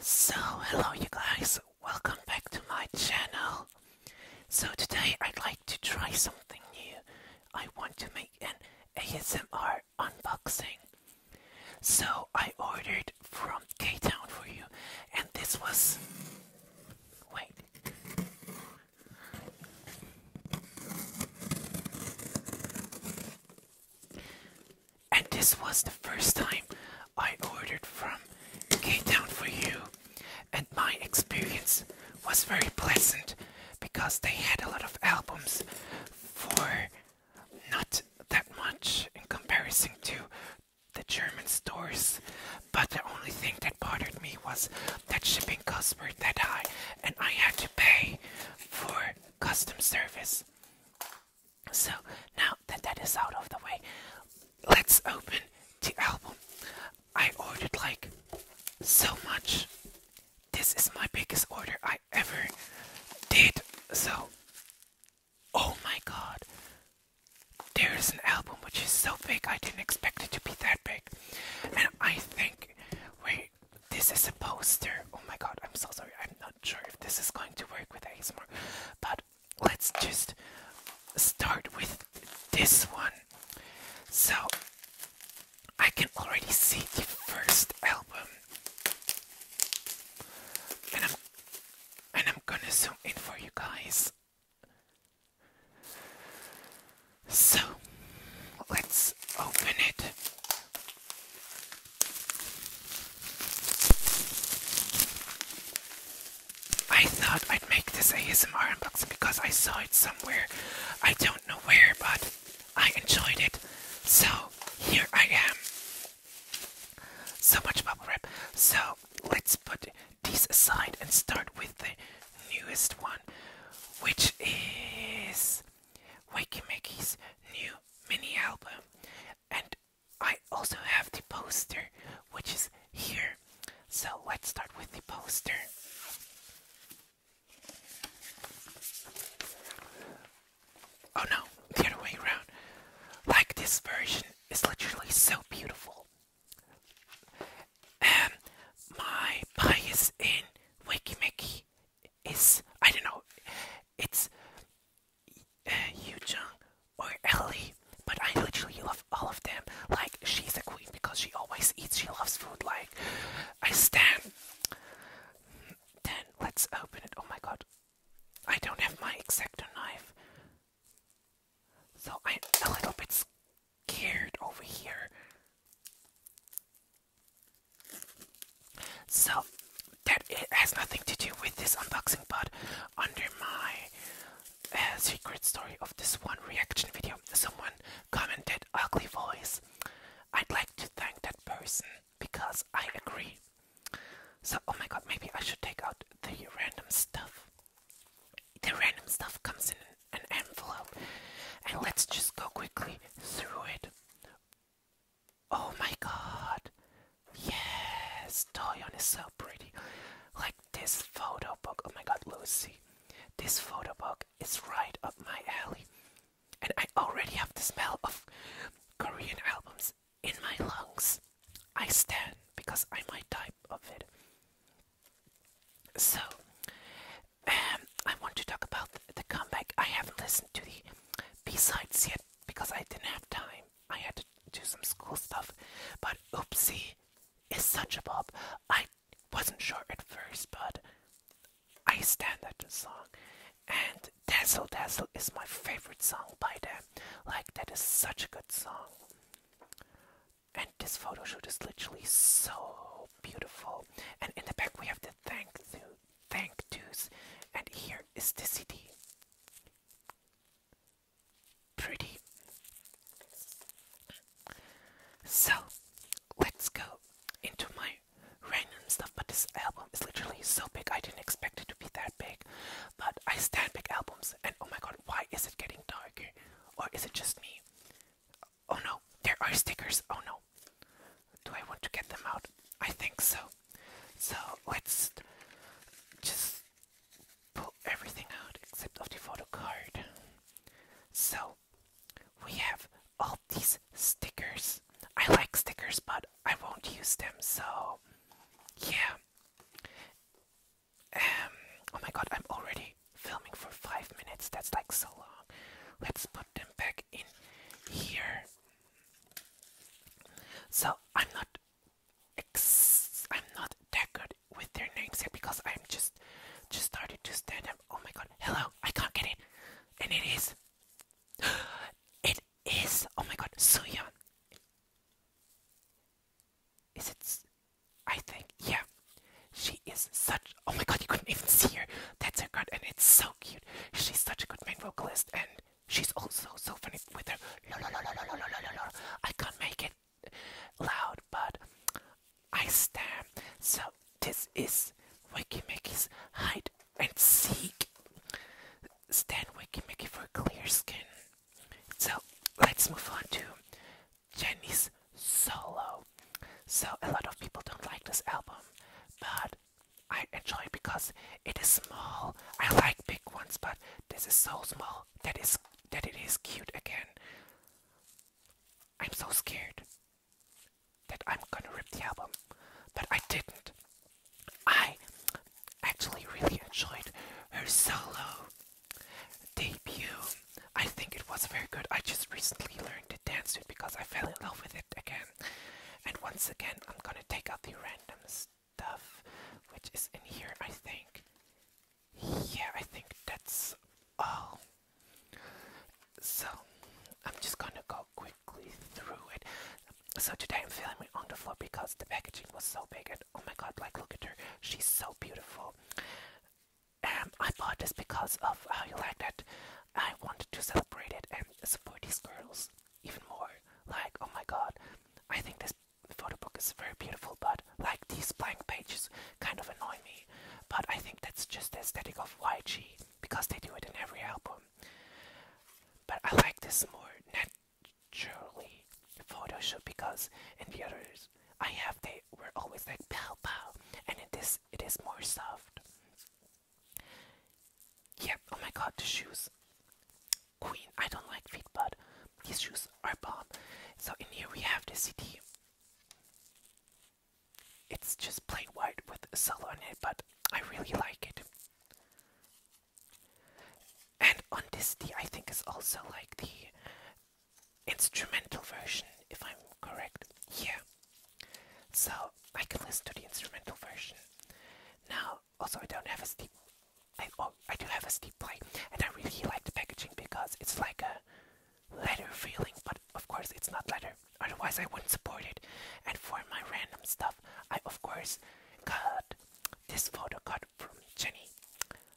So hello you guys, welcome back to my channel. So today I'd like to try something new. I want to make an ASMR unboxing. So I ordered from K Town for you, and this was. Wait. And this was the first time I ordered from K Town for you, and my experience was very pleasant because they had a lot of albums for not that much in comparison to the German stores. But the only thing that bothered me was that shipping cost were that high, and I had to pay for custom service. So now that that is out of the way, let's open the album. I ordered like so much. This is my biggest order I ever did. So Oh my god. There is an album which is so big, I didn't expect it to be that big. And I think, wait, this is a poster. Oh my god, I'm so sorry. I'm not sure if this is going to work with ASMR. But let's just start with this one. So, I can already see the first album and I'm gonna zoom in for you guys. So let's open it. I thought I'd make this ASMR unboxing because I saw it somewhere. I don't know where, but I enjoyed it. So here I am so much bubble wrap. So let's put these aside and start with the newest one, which is Wakey new mini album. And I also have the poster, which is here. So let's start with the poster. Oh no, the other way around. Like this version is literally so beautiful. and my bias in Wakimeki is I don't know, it's uh, Yu Jung or Ellie, but I literally love all of them. Like she's a queen because she always eats. She loves food. Like I stand. Then let's open it. Oh my god. I don't have my exacto knife. So I'm a little bit scared over here. So that it has nothing to do with this unboxing, but under my uh, secret story of this one reaction video, someone commented ugly voice. I'd like to thank that person because I agree. So, oh my god, maybe I should take out the random stuff. The random stuff comes in an envelope, and let's just go quickly through it. Oh my god, yes, Toyon is so pretty. Like this photo book, oh my god, Lucy, this photo book is right up my alley. And I already have the smell of Korean albums in my lungs. I stand because I might die of it. So, um, I want to talk about the comeback. I haven't listened to the B-sides yet because I didn't have time. I had to do some school stuff. But Oopsie is such a bop. I wasn't sure at first, but I stand at the song. And Dazzle Dazzle is my favorite song by them. Like, that is such a good song. And this photo shoot is literally so beautiful. And in the back, we have to thank you, thank yous. And here is the CD. Pretty. So, let's go into my random stuff. But this album it's literally so big. I didn't expect it to be that big, but I stand big albums. And oh my god, why is it getting darker? Or is it just me? Oh no, there are stickers. Oh no, do I want to get them out? I think so. So let's just pull everything out except of the photo card. So we have all these stickers. I like stickers, but I won't use them, so yeah. Um, oh my god, I'm already filming for five minutes. That's like so long. Let's put them back in here. So I'm not, I'm not that with their names yet because I'm just, just started to stand up. Oh my god! Hello, I can't get it, and it is, it is oh my god, Suyeon. Is it? I think yeah. She is such oh my god, you couldn't even see her. That's her card, and it's so cute. She's such a good main vocalist, and she's also so funny with her. I can't make it loud, but I stam. So this is Wakey Makey's hide and seek Stan Wiki Mickey for clear skin. So let's move on to Jenny's solo. So a lot of people don't like this album, but I enjoy it because it is small. I like big ones, but this is so small that is that it is cute again. I'm so scared that I'm gonna rip the album, but I didn't. I actually really enjoyed her solo debut. I think it was very good. I just recently learned to dance to it because I fell in love with it again. And once again, I'm gonna take out the random stuff which is in here, I think. Yeah, I think that's all. So, I'm just gonna go quickly through it. So today I'm feeling on the floor because the packaging was so big and oh my god, like look at her. She's so beautiful. Um, I bought this because of how you liked it. I wanted to celebrate it and support these girls even more. Like, oh my god, I think this photo book is very beautiful, but like these blank pages kind of annoy me. But I think that's just the aesthetic of YG because they do it in every album. But I like this more nat Surely, photo shoot because in the others I have they were always like pow pow and in this it is more soft. Yeah, oh my god the shoes. Queen, I don't like feet but these shoes are bomb. So in here we have the CD. It's just plain white with a solo on it, but I really like it. And on this, Undisty, I think, is also like the instrumental version, if I'm correct. here. So I can listen to the instrumental version. Now, also I don't have a steep I oh I do have a steep play and I really like the packaging because it's like a letter feeling, but of course it's not letter. Otherwise I wouldn't support it. And for my random stuff I of course got this photo got from Jenny.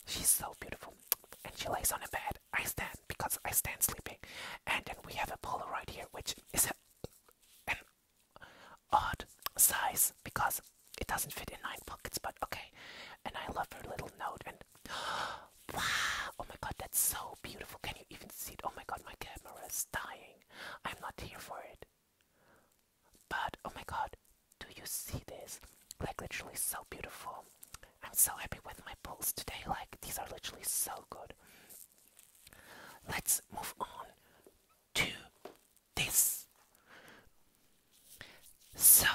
She's so beautiful. And she lays on a bed. I stand because I stand sleeping. And then we have a right here, which is a, an odd size because it doesn't fit in nine pockets, but okay. And I love her little note. And wow, oh my god, that's so beautiful. Can you even see it? Oh my god, my camera is dying. I'm not here for it. But oh my god, do you see this? Like, literally, so beautiful. I'm so happy with my pulls today. Like, these are literally so good. Let's move on to this. So,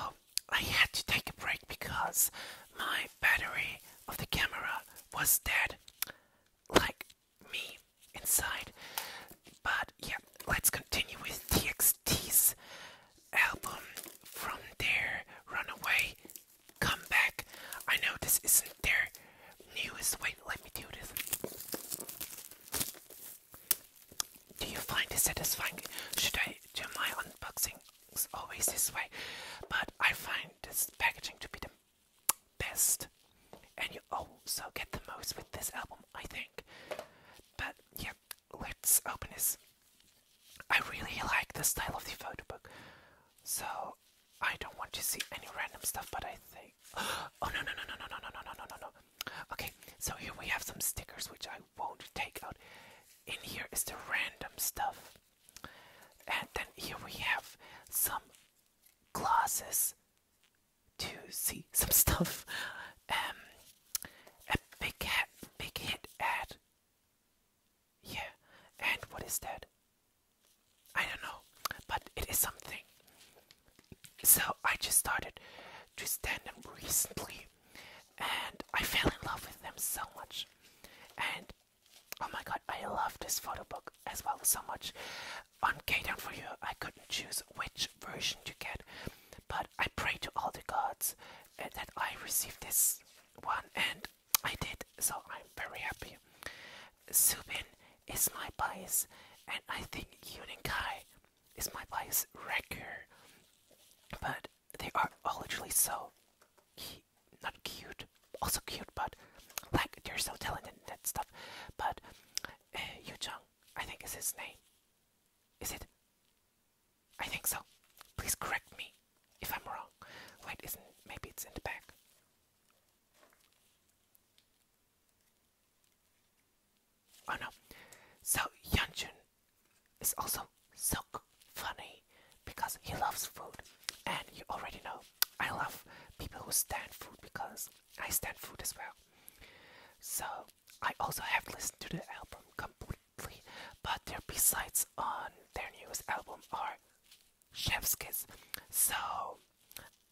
I had to take a break because my battery of the camera was dead. Like, me inside. But yeah, let's continue with TXT's album from their Runaway Comeback. I know this isn't their newest. Wait, let me do this. Do you find this satisfying? Should I do my unboxing? It's always this way, but I find this packaging to be the best and you also get the most with this album I think. But yeah, let's open this. I really like the style of the photo book. So I don't want to see any random stuff but I think Oh no no no no no no no no no no no Okay, so here we have some stickers which I won't take out. In here is the random stuff. And then here we have some glasses to see some stuff. Um, a big hat, big hit ad. Yeah, and what is that? I don't know, but it is something. So I just started to stand them recently, and I fell in love with them so much. And oh my god, I love this photo book as well so much on K-Down for You, I couldn't choose which version to get, but I pray to all the gods uh, that I receive this one, and I did, so I'm very happy. Subin is my bias, and I think Kai is my bias wrecker, but they are all literally so not cute, also cute, but like they're so talented and stuff. But uh, Yoo Jung I think is his name. Is it? I think so. Please correct me if I'm wrong. Wait, isn't maybe it's in the back. Oh no. So Yeonjun is also so funny because he loves food. And you already know I love people who stand food because I stand food as well. So I also have listened to the album completely, but their B sides on their newest album are Chef's Kiss. So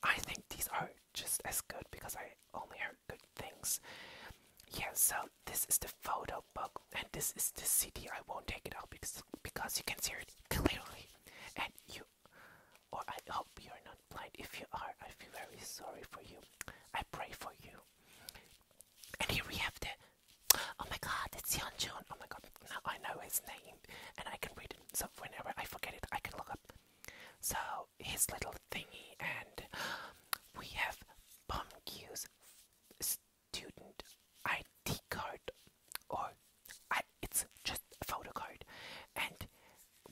I think these are just as good because I only heard good things. Yeah, so this is the photo book, and this is the CD. I won't take it out because because you can see it clearly, and you or I hope you're not blind. If you are, I feel very sorry for you. I pray for you. And here we have the. Oh my god, it's Yeonjun. Oh my god, now I know his name and I can read it. So whenever I forget it, I can look up. So his little thingy, and we have Bumq's student ID card, or I, it's just a photo card, and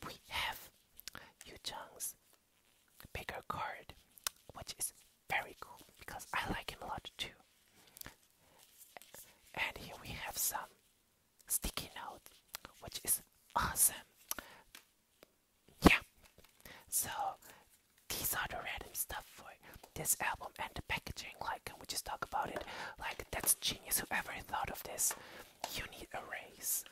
we have Yu Chang's bigger card, which is very cool because I like him a lot too. And here we have some sticky note, which is awesome. Yeah. So these are the random stuff for this album and the packaging, like can we just talk about it? Like that's genius whoever thought of this you need a raise.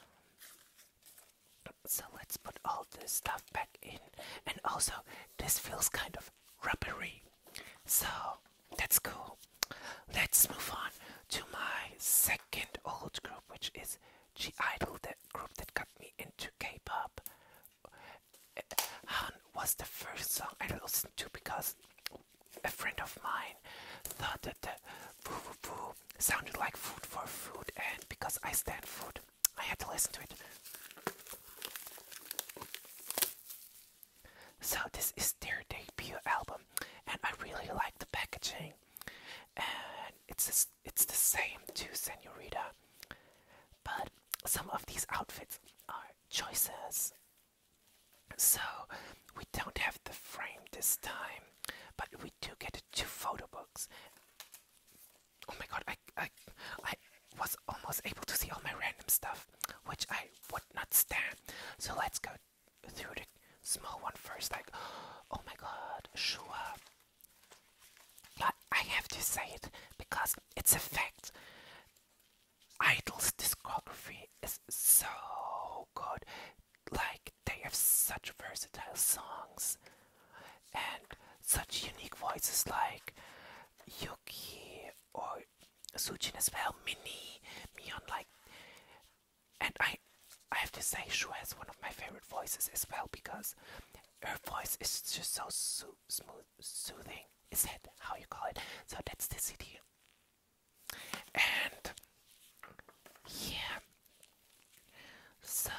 So let's put all this stuff back in. And also, this feels kind of rubbery. So that's cool. Let's move on to my second old group, which is G Idol, the group that got me into K pop. Han was the first song I listened to because a friend of mine thought that the foo foo foo sounded like food for food, and because I stand food, I had to listen to it. So this is their debut album, and I really like the packaging. And it's just, it's the same to Senorita, but some of these outfits are choices so we don't have the frame this time, but we do get two photo books. Oh my god, I, I, I was almost able to see all my random stuff, which I would not stand. So let's go through the small one first. Like, oh my god, Sure, But I have to say it because it's a fact. Idol's discography is so good like they have such versatile songs and such unique voices like Yuki or Sujin as well, Mini, Mion like and I I have to say Shu has one of my favorite voices as well because her voice is just so so smooth soothing. Is that how you call it? So that's the CD and yeah so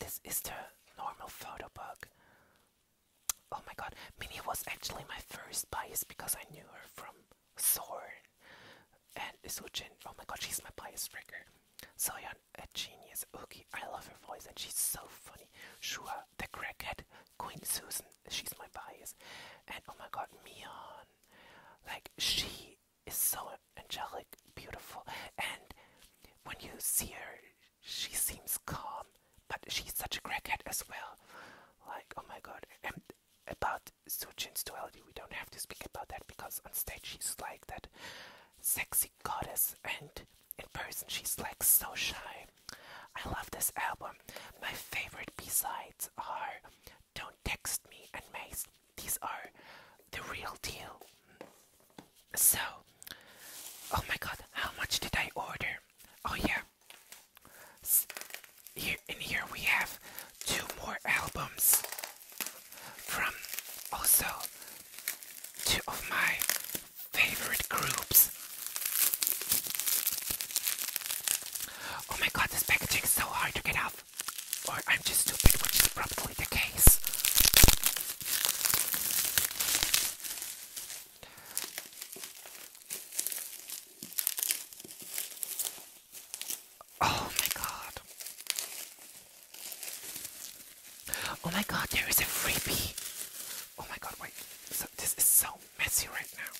this is the normal photo book oh my god Minnie was actually my first bias because I knew her from Soren and Isuchin oh my god she's my bias trigger Soyeon a genius Uki I love her voice and she's so funny Shua the crackhead Queen Susan she's my bias and oh my god Mion like, she is so angelic, beautiful, and when you see her, she seems calm, but she's such a crackhead as well. Like, oh my god. And about Sujin's duality, we don't have to speak about that because on stage she's like that sexy goddess, and in person she's like so shy. I love this album. My favorite B sides are don't text me and Mace. These are the real deal. So, oh my god, how much did I order? Oh yeah. here in here we have two more albums from also two of my favorite groups. Oh my god, this packaging is so hard to get off. Or I'm just stupid, which is probably the case. Oh my god. Oh my god, there is a freebie. Oh my god, wait. So, this is so messy right now.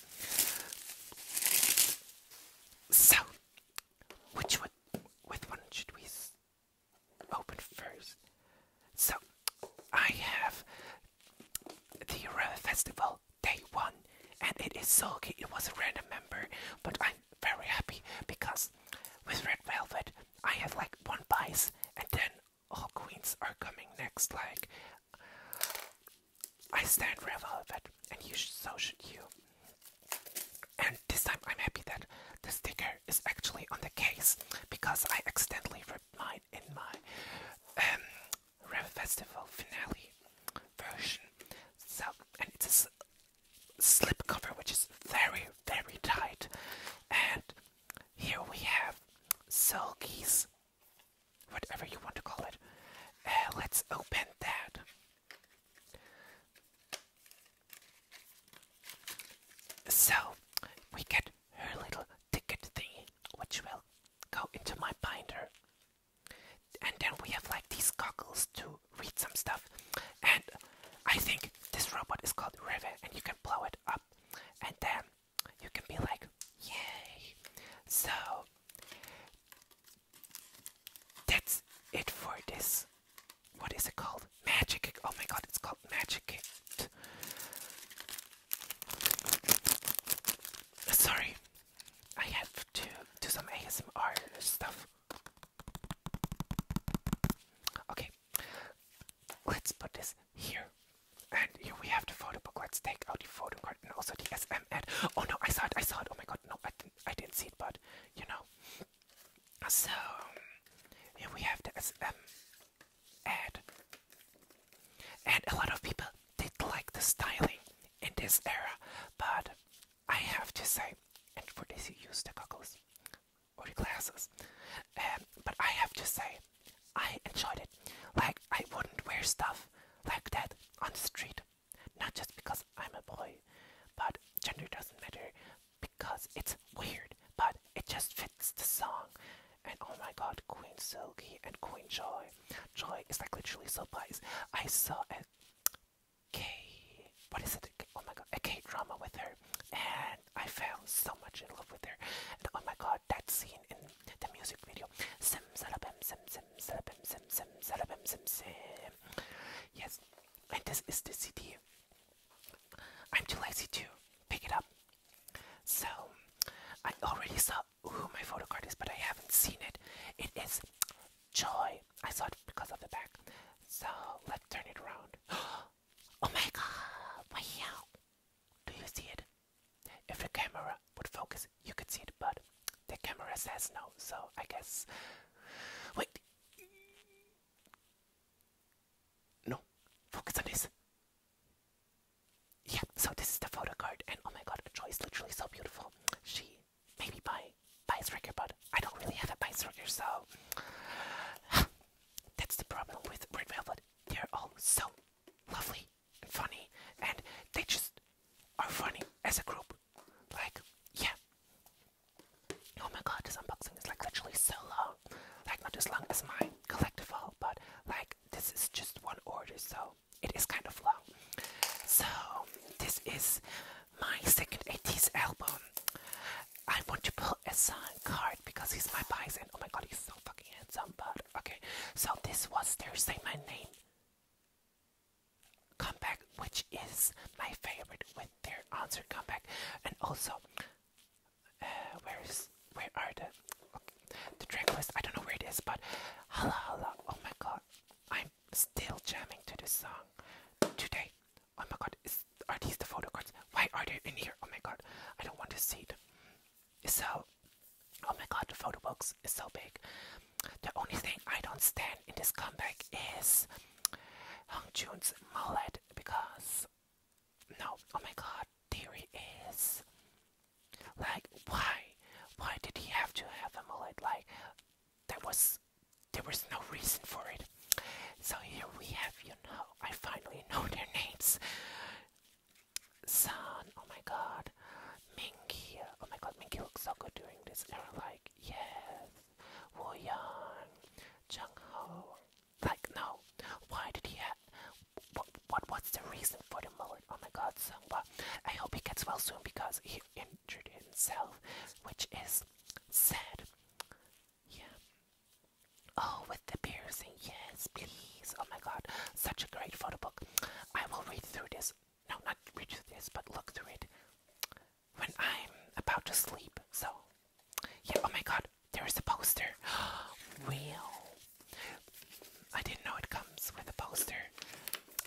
So, which one, with one should we open first? So, I have the Rare Festival Day 1, and it is so Sulky. It was a random member, but I'm very happy because with Red Velvet, I have like one bias, and then all queens are coming next, like I stand for velvet, and you so should you. And this time I'm happy that the sticker is actually on the case because I accidentally ripped mine in my um, Rebel Festival finale version. So, and it's a sl slip cover which is very, very tight. And here we have Sulky's whatever you want to call it. Uh, let's open that. So we get her little ticket thingy, which will go into my binder. And then we have like these goggles to read some stuff. And I think this robot is called Rivet, and you can blow it up, and then you can be like, Yay! So that's it for this. What is it called? Magic. Oh my god, it's called Magic. Sorry, I have to do some ASMR stuff. Okay, let's put this here. And here we have the photo book. Let's take out the photo card and also the SM ad. Oh no, I saw it, I saw it. Oh my god, no, I didn't, I didn't see it, but you know. So here we have the SM ad, and a lot of people did like the styling in this era, but I have to say, and for this you use the goggles or the glasses, um, but I have to say, I enjoyed it. Like I wouldn't wear stuff like that on the street. Not just because I'm a boy, but gender doesn't matter because it's weird, but it just fits the song. And oh my god, Queen Silky and Queen Joy. Joy is like literally so biased. I saw a gay, what is it? Oh my god, a K drama with her, and I fell so much in love with her. And oh my god, that scene in the music video, sim salabim sim sim Salabim, Sim, Sim, Salabim, Sim, Sim. Yes, and this is the CD. I'm too lazy to pick it up. So, I already saw who my photo card is, but I haven't seen it. It is Joy. I saw it because of the back. So, let's turn it around. oh my god! Wow! Do you see it? If the camera would focus, you could see it, but the camera says no, so I guess. Wait! No, focus on this. Yeah, so this is the photo card, and oh my god, Joy is literally so beautiful. She maybe buy bias record, but I don't really have a bias record, so that's the problem with Red Velvet. They're all so lovely funny and they just are funny as a group. Like, yeah. Oh my god, this unboxing is like literally so long. Like, not as long as my collectible, but like, this is just one order, so it is kind of long. So, this is my second 80s album. I want to pull a sign card because he's my bison. Oh my god, he's so fucking handsome, but okay. So, this was Thursday My Name comeback, which is my favorite with their answer comeback. And also, uh, where is where are the the track list? I don't know where it is, but hala hala. Oh my god, I'm still jamming to this song today. Oh my god, are these the photo cards? Why are they in here? Oh my god, I don't want to see it. So Oh my god, the photo box is so big. The only thing I don't stand in this comeback is Hong Jun's mullet because no, oh my god, theory is like why? Why did he have to have a mullet? Like there was there was no reason for it. So here we have, you know, I finally know their names. Son, oh my god. Minky. Oh my god, Minky looks so good during this era. Like, yes. Woo Young. Jung Ho. Like, no. Why did he have. What, what's the reason for the mullet? Oh my god, Sungwa. I hope he gets well soon because he injured himself, which is sad. Yeah. Oh, with the piercing. Yes, please. Oh my god. Such a great photo book. I will read through this no, not reach this, but look through it when I'm about to sleep. So, yeah, oh my god, there is a poster. Real. I didn't know it comes with a poster.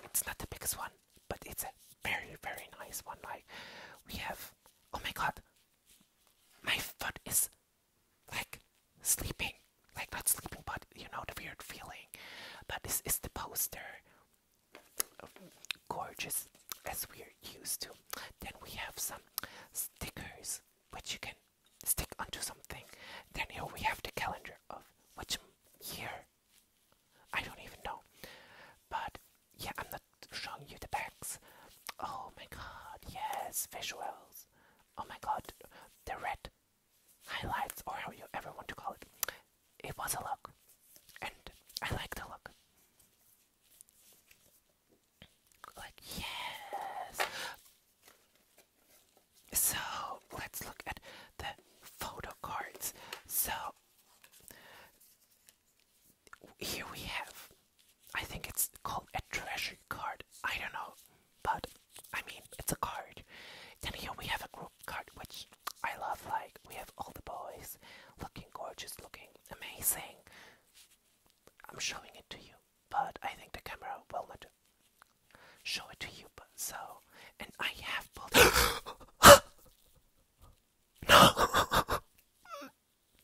It's not the biggest one, but it's a very, very nice one. Like, we have, oh my god, my foot is like sleeping like not sleeping, but you know the weird feeling. But this is the poster, gorgeous as we're used to. Then we have some stickers which you can stick onto something. Then here we have the calendar of which year. I don't even know, but yeah, I'm not showing you the backs. Oh my god, yes, visuals. Oh my god, the red highlights or how you ever want to call it. It was a look, and I like the look. Like, yes! So, let's look at the photo cards. So, here we have, I think it's called a treasure card. I don't know, but I mean, it's a card. Then here we have a group card, which I love. Like, we have all the boys looking gorgeous, looking amazing. I'm showing it to you, but I think the camera will not show it to you. But so, and I have both. no!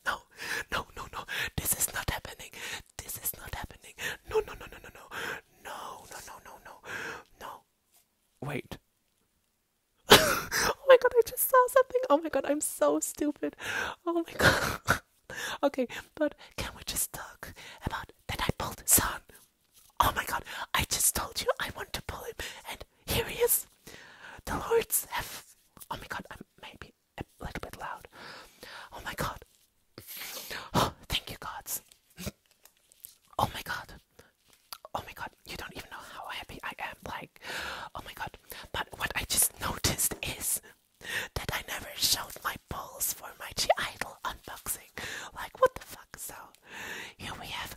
No, no, no, no. This is not happening. This is not happening. No, no, no, no, no, no. No, no, no, no, no. No, Wait. oh my god, I just saw something. Oh my god, I'm so stupid. Oh my god. okay, but can we just talk about the nightbolt son? Oh my god, I just told you I want to pull him, and here he is. The lords have. Oh my god, I'm maybe a little bit loud. Oh my god. Oh, thank you, gods oh my god. Oh my god, you don't even know how happy I am. Like, oh my god. But what I just noticed is that I never showed my balls for my Idol unboxing. Like, what the fuck? So, here we have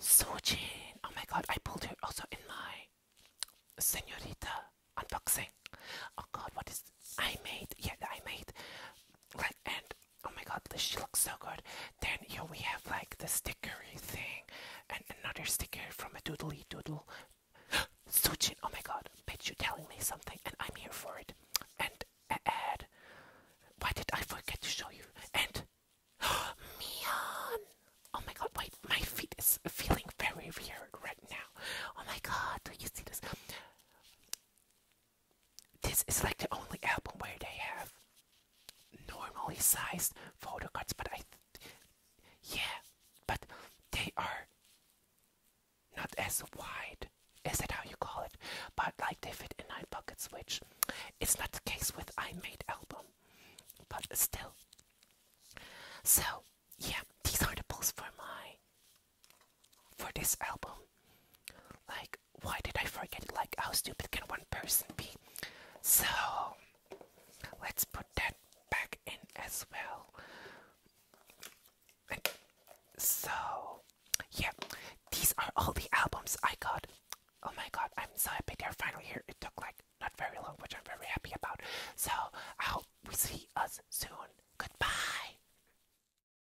Sojin. Oh my god, I pulled her also in my Senorita unboxing. Oh god, what is I made, yeah, I made, like, and oh my god, this she looks so good. Then here we have like the stickery thing, and another sticker from a doodly doodle. Suchin, oh my god, bitch, you telling me something, and I'm here for it. And a uh, ad. Why did I forget to show you? And Mion! Oh my god, wait, my feet is feeling very weird right now. Oh my god, do you see this? This is like the only album where they have normally sized photo cards, but I, yeah, but they are not as wide. Is that how you call it? But like they fit in my pockets, which it's not the case with I Made album, but still. So yeah, these are the pulls for my for this album. Like, why did I forget? Like, how stupid can one person be? So, let's put that back in as well. so, yeah, these are all the albums I got. Oh my god, I'm so happy they're finally here. It took like not very long, which I'm very happy about. So, I hope we see us soon. Goodbye.